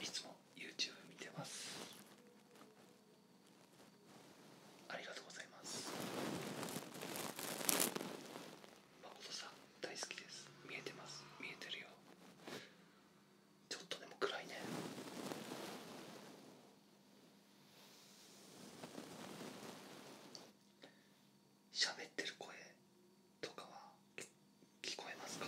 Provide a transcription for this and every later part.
いつも YouTube 見てますありがとうございます誠さん大好きです見えてます見えてるよちょっとでも暗いね喋ってる声とかは聞こえますか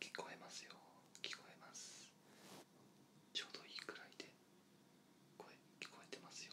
聞こえますよ聞こえますちょうどいいくらいで声聞こえてますよ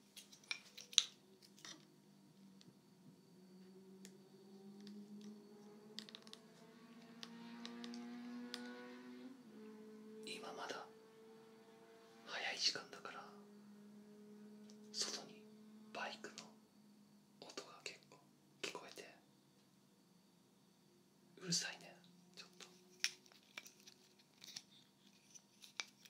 今まだ早い時間だから外にバイクの音が結構聞こえてうるさいねちょっと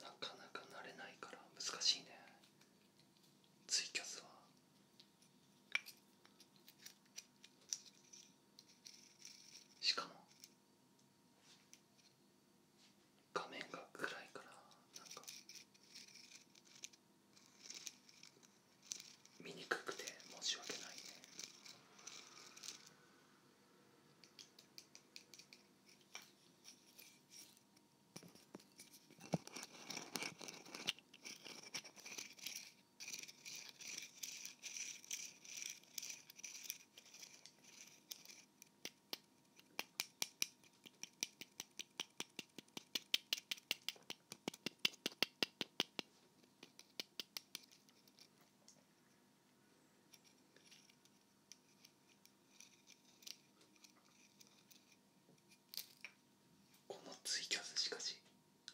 なかなか慣れないから難しいねツイキャスはしかも画面が暗いからなんか見にくくて申し訳ないねこのツイキャスしかし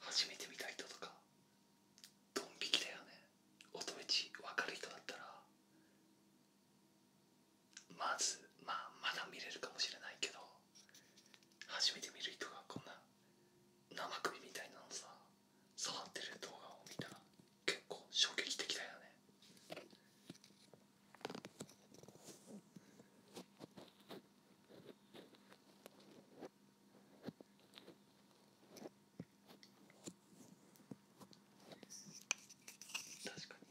初めて見た人とかドン引きだよね乙女ち分かる人だったらまずまあまだ見れるかもしれないけど初めて見る人がこんな生首みたいなのさ触ってる動画を見たら結構衝撃的だよね確かに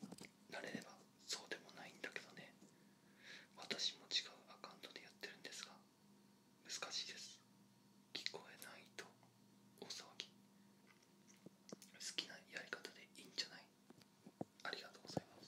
慣れればそうでもないんだけどね私も違うアカウントでやってるんですが難しいです聞こえないと大騒ぎ好きなやり方でいいんじゃないありがとうございます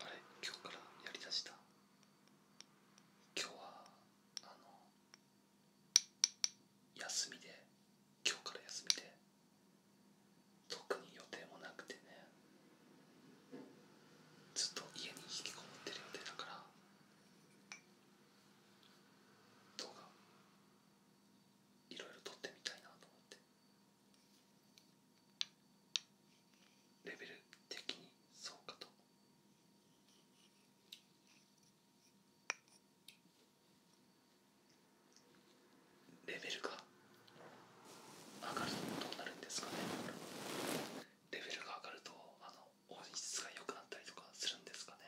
あれ今日からやりだした今日はあの休みで今日から休みで特に予定もなくてねずっと家に引きこもってる予定だから動画いろいろ撮ってみたいなと思ってレベル的にそうかとレベルが上がるとどうなるんですかねレベルが上がるとあの音質が良くなったりとかするんですかね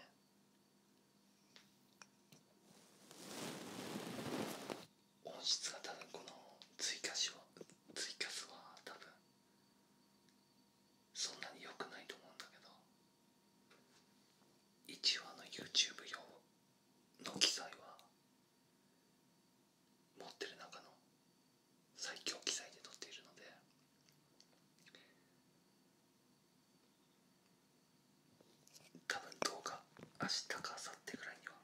音質が多分このツイキャスはツは多分そんなに良くないと思うんだけど1話の YouTube 用の機材は持ってる中の最強機材で撮っているので多分動画明日か明後日ぐらいには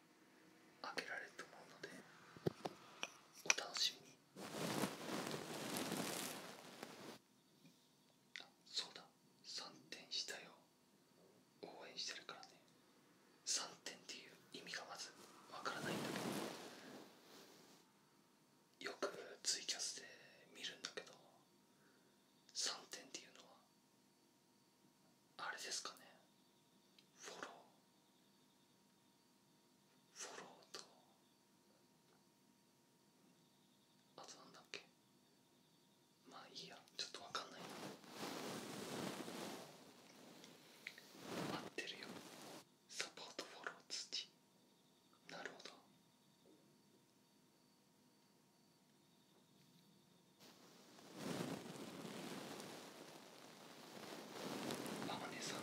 あげられると思うのでお楽しみにそうだ3点したよ応援してるからね3点っていう意味がまずわからないんだけどよくツイキャスで見るんだけど3点っていうのはあれですかねフォローフォローとあとなんだっけまあいいやちょっとわかんないな合ってるよサポートフォロー土なるほど天音さん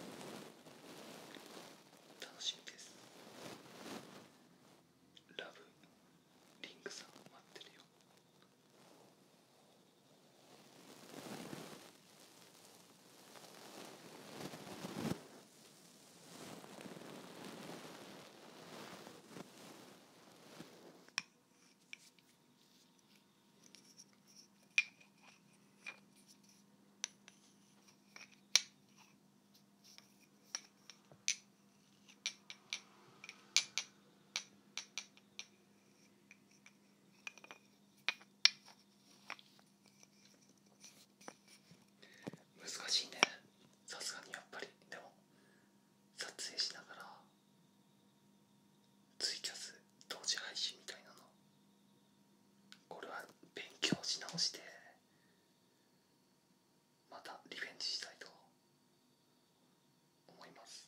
楽しみですラブリンクさん待ってるよ難しいねさすがにやっぱりでも撮影しながらツイキャス同時配信みたいなの俺は勉強し直してまたリベンジしたいと思います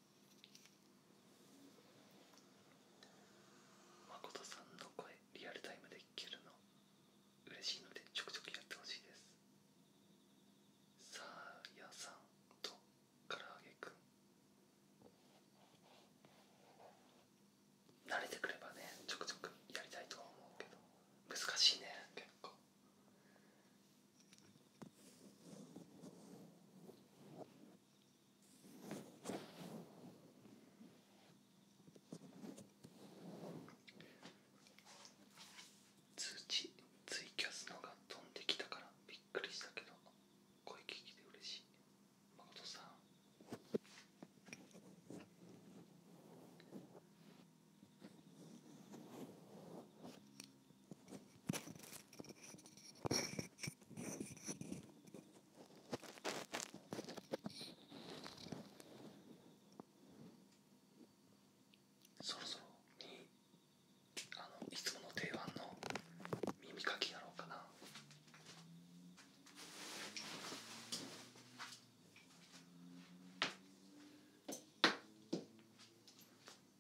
誠さんの声リアルタイムで聞けるの嬉しいのでちょくちょくやってほしいですさあやさんと唐揚げくん慣れてくればねちょくちょくやりたいと思うけど難しいね結構通知ツイキャスのが飛んできたからびっくりしたけど声聞きで嬉しい誠さんそろそろにあのいつもの定番の耳かきやろうかな。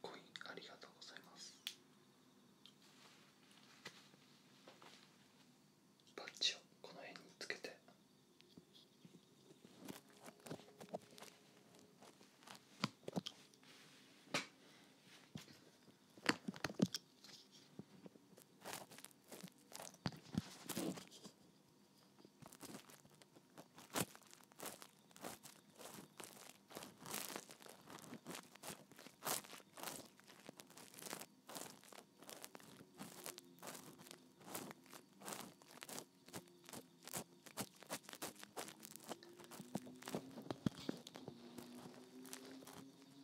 コインありがとうございますバッチをこの辺につけて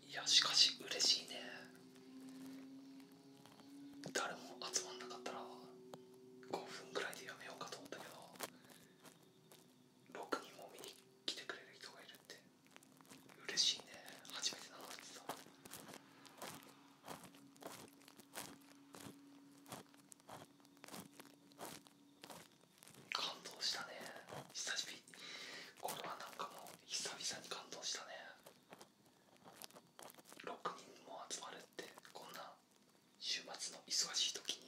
いやしかし嬉しいね誰も集まんなかったら5分ぐらいでやめようかと思ったけど6人も見に来てくれる人がいるって嬉しいね初めてなのってさ感動したね久しぶりこれはなんかもう久々に感動したね6人も集まるってこんな週末の忙しい時に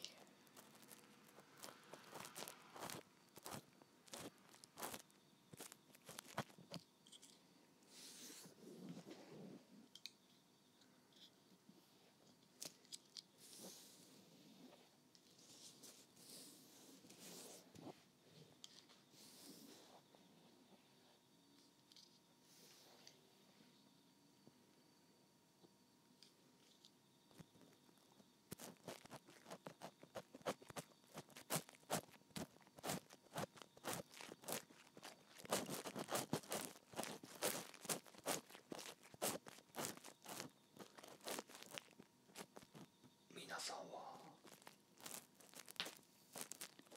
皆さんは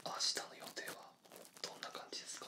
明日の予定はどんな感じですか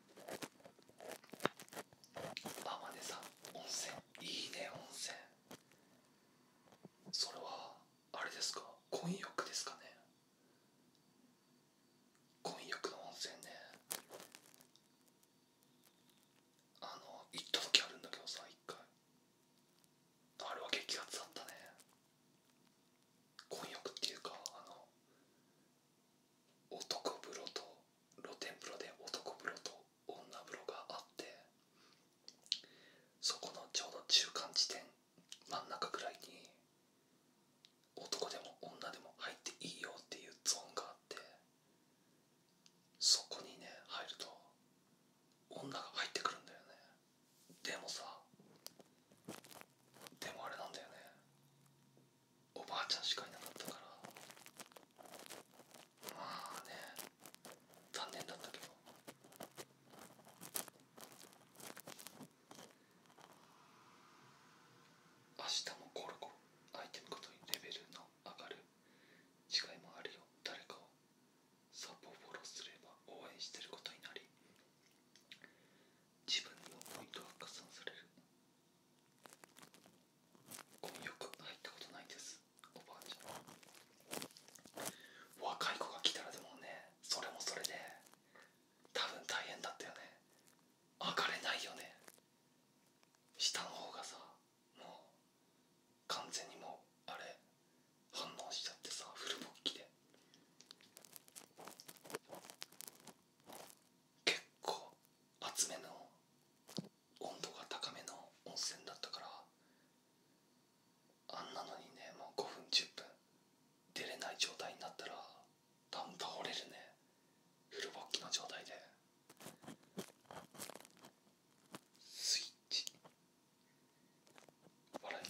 天音さん温泉いいね温泉それはあれですか婚浴ですかね婚浴の温泉ねあの行った時あるんだけどさ一回あれは激アツだったね婚浴っていうかあの男風呂と露天風呂で男風呂と女風呂があってそこのちょうど中間地点真ん中くらいに男でも女でも入っていいよっていうゾーンがあってそこにね入ると女が入ってくるんだよねでもさでもあれなんだよねおばあちゃんしかいなかったからまあね残念だったけど明日もコロコアイテムごとにレベルの上がる違いもあるよ誰かをサポフォローすれば応援してることになり自分のポイントが加算されるゴく箱入ったことないですおばあちゃん若い子が来たらでもねそれもそれで多分大変だったよね上がれないよね下の方がさもう完全にもうあれ反応しちゃってさフルボッキで結構熱めの温度が高めの温泉だったからあんなのにねもう5分10分出れない状態になったら多ん倒れるねフル勃起の状態でスイッチ笑い。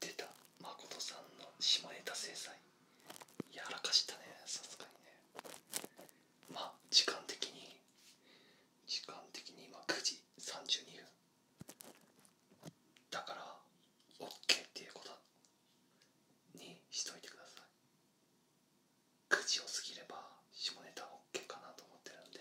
出た誠さんの下ネタ制裁やらかしたねさすがにねまあ時間的に時間的に今9時32分だから OK っていうことにしといてください9時を過ぎれば下ネタ OK かなと思ってるんで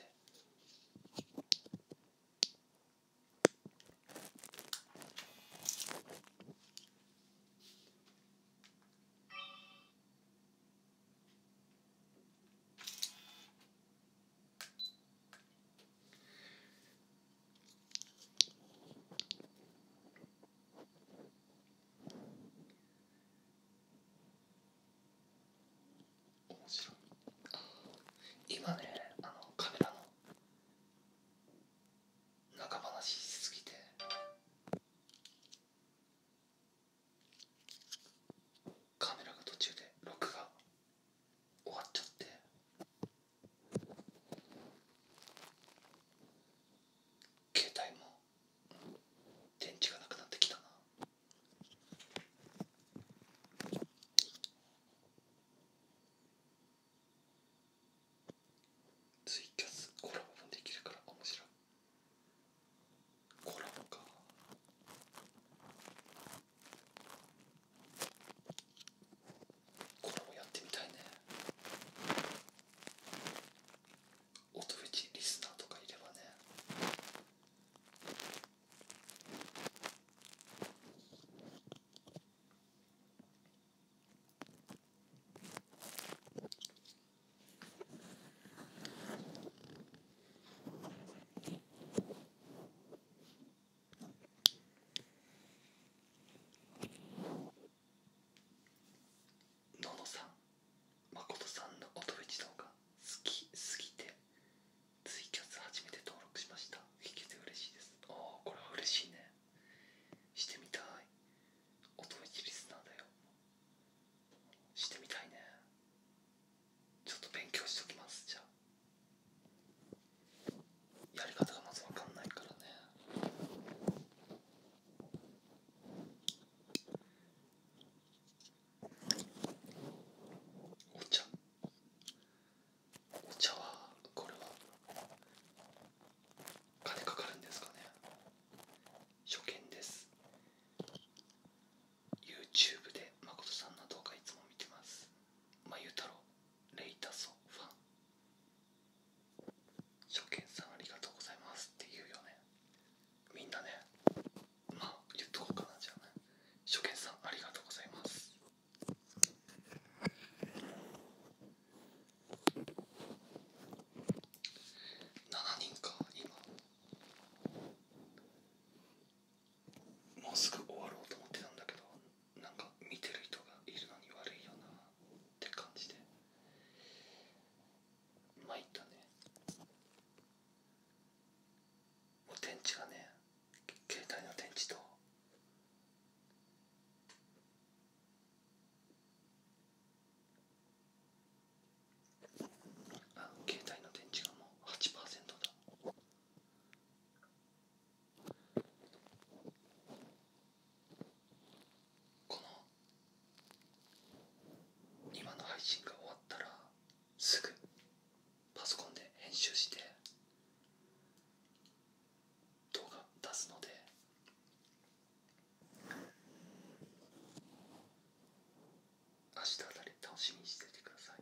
面白い今ねあのカメラの中話しすぎてカメラが途中で録画終わっちゃって携帯も電池がなくなってきたなツイキャスコラボもできるから面白いコラボかコラボやってみたいね音フェチリスナーとかいればねののさん誠さんの音フェチ動画好きすぎてツイキャス初めて登録しました聞けて嬉しいですああこれは嬉しいねしてみたい音フェチリスナーだよしてみたいねちょっと勉強しときますじゃあやり方がまず分かんないからねお茶お茶はこれは金かかるんですかね初見です YouTube で誠さんの動画いつも見てますまゆ太郎レイタソファン初見さんありがとうございますって言うよねみんなねまあ言っとこうかなじゃあ初見さんありがとうございます7人か今もうすぐ終わろうと思ってたんだけどなんか見てる人がいるのに悪いよなって感じで参ったねもう電池がね携帯の電池とあ携帯の電池がもう8%だこの今の配信が終わったらすぐパソコンで編集して動画出すので明日あたり楽しみにしててください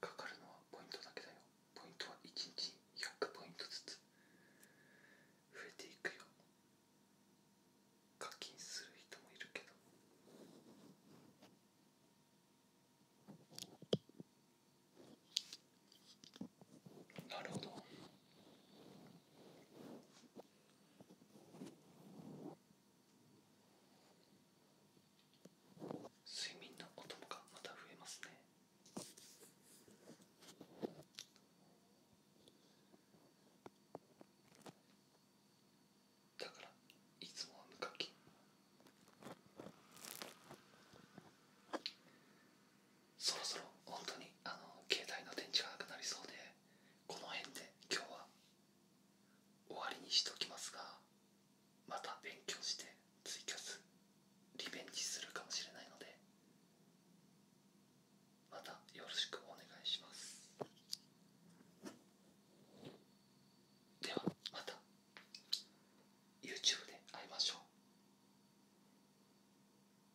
かかるのはポイントだけだよポイントは1日に100ポイントずつ増えていくよ課金する人もいるけどなるほど睡眠のお供がまた増えますねだからいつもは無課金そろそろ本当にあの携帯の電池がなくなりそうでこの辺で今日は終わりにしておきますがまた勉強してツイキャスリベンジするかもしれないのでまたよろしくお願いしますではまた YouTube で会いましょう